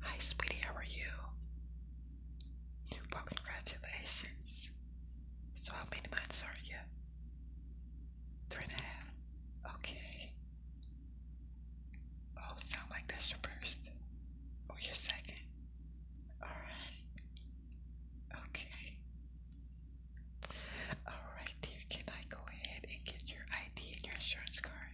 Hi, sweetie, how are you? Well, congratulations. So, how many months are you? Three and a half. Okay. Oh, sound like that's your first. Or your second. Alright. Okay. Alright, dear. Can I go ahead and get your ID and your insurance card?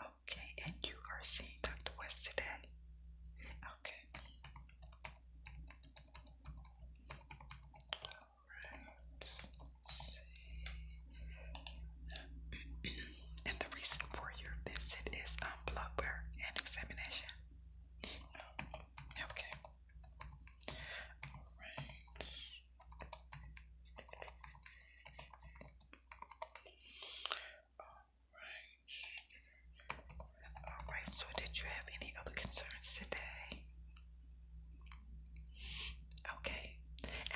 Okay, and you are seeing Dr. West today? Okay. Alright. and the reason for your visit is um blood work and examination. okay. Alright. Alright. Alright, so did you have any other concerns today? Okay.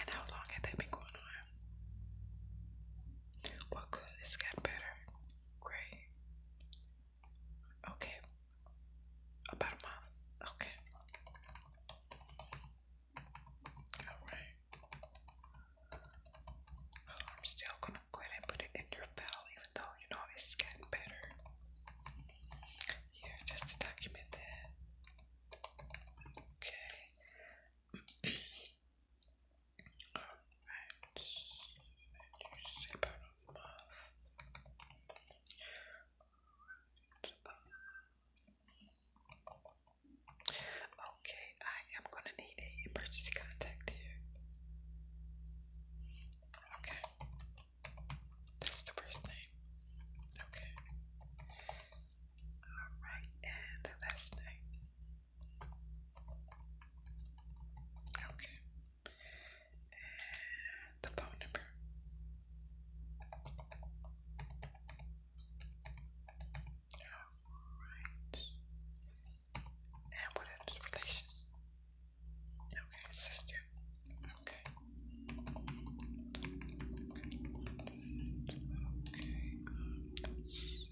And how long had that been going on? Well, good. It's gotten better. Great. Okay. About a month. Okay. Alright. I'm still gonna go ahead and put it in your file, even though you know it's getting better. Here, just to document that. Okay. Okay, I am gonna need a emergency contact here. Okay. That's the first name. Okay. Alright, and the last name. Okay. And the phone number. And what is relations? Okay, sister. Okay. Okay, let's see.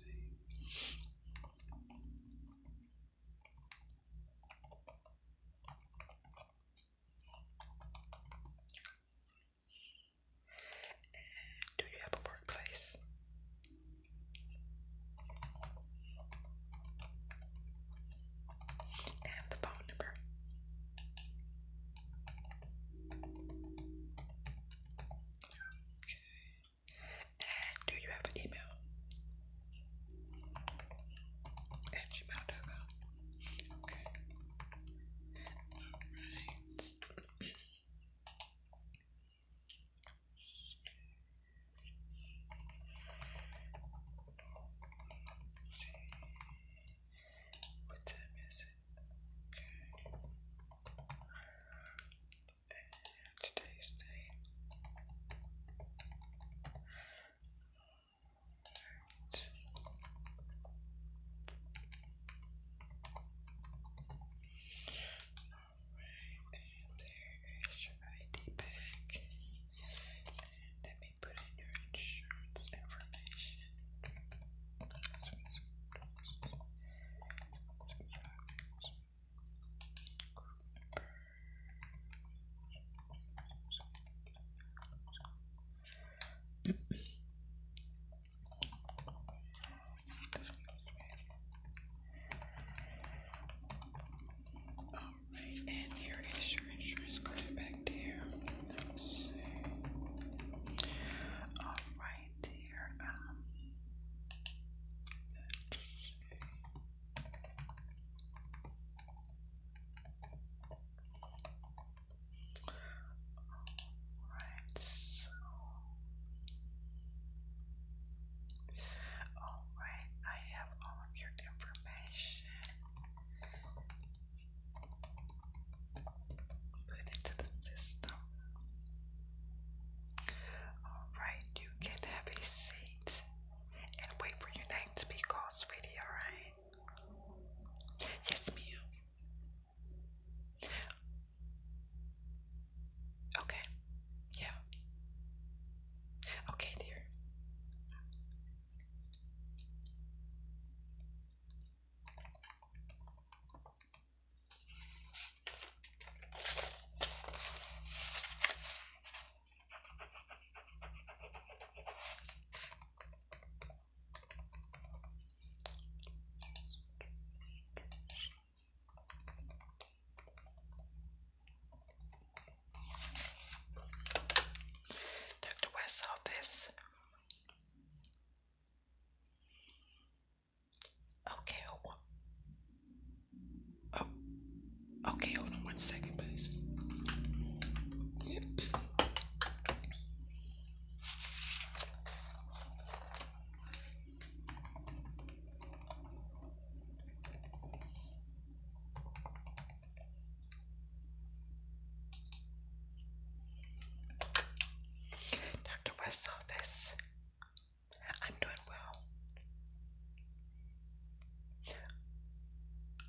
And do you have a workplace? And the phone number. Okay. And do you have an email? At gmail.com. Okay. Alright. What time is it? Okay. And today's date. Alright. Alright, and there is your ID bag. And let me put in your insurance information. Alright, and here is your insurance card back Alright, there. Alright, Alright, I have all of your information. Put it to the system. Alright, you can have a seat and wait for your name to be called, sweetie, alright? Yes, ma'am. Okay. Yeah. Okay, dear. Dr. West, office. Okay, hold Oh, okay, hold on one second, please. Dr. West office. I'm doing well.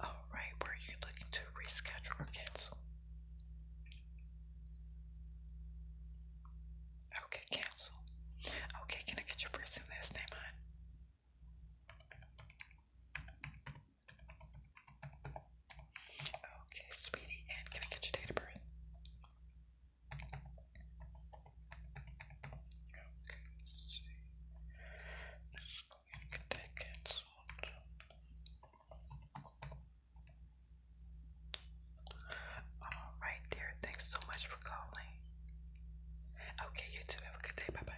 Alright, were you looking to reschedule or cancel? Okay, cancel. Okay, can I get your first and last name on? Okay, sweetie, and can I get your date of birth? Okay, let's see. Let's go and canceled. All right, dear. Thanks so much for calling. Okay, you too. Have a good day. Bye bye.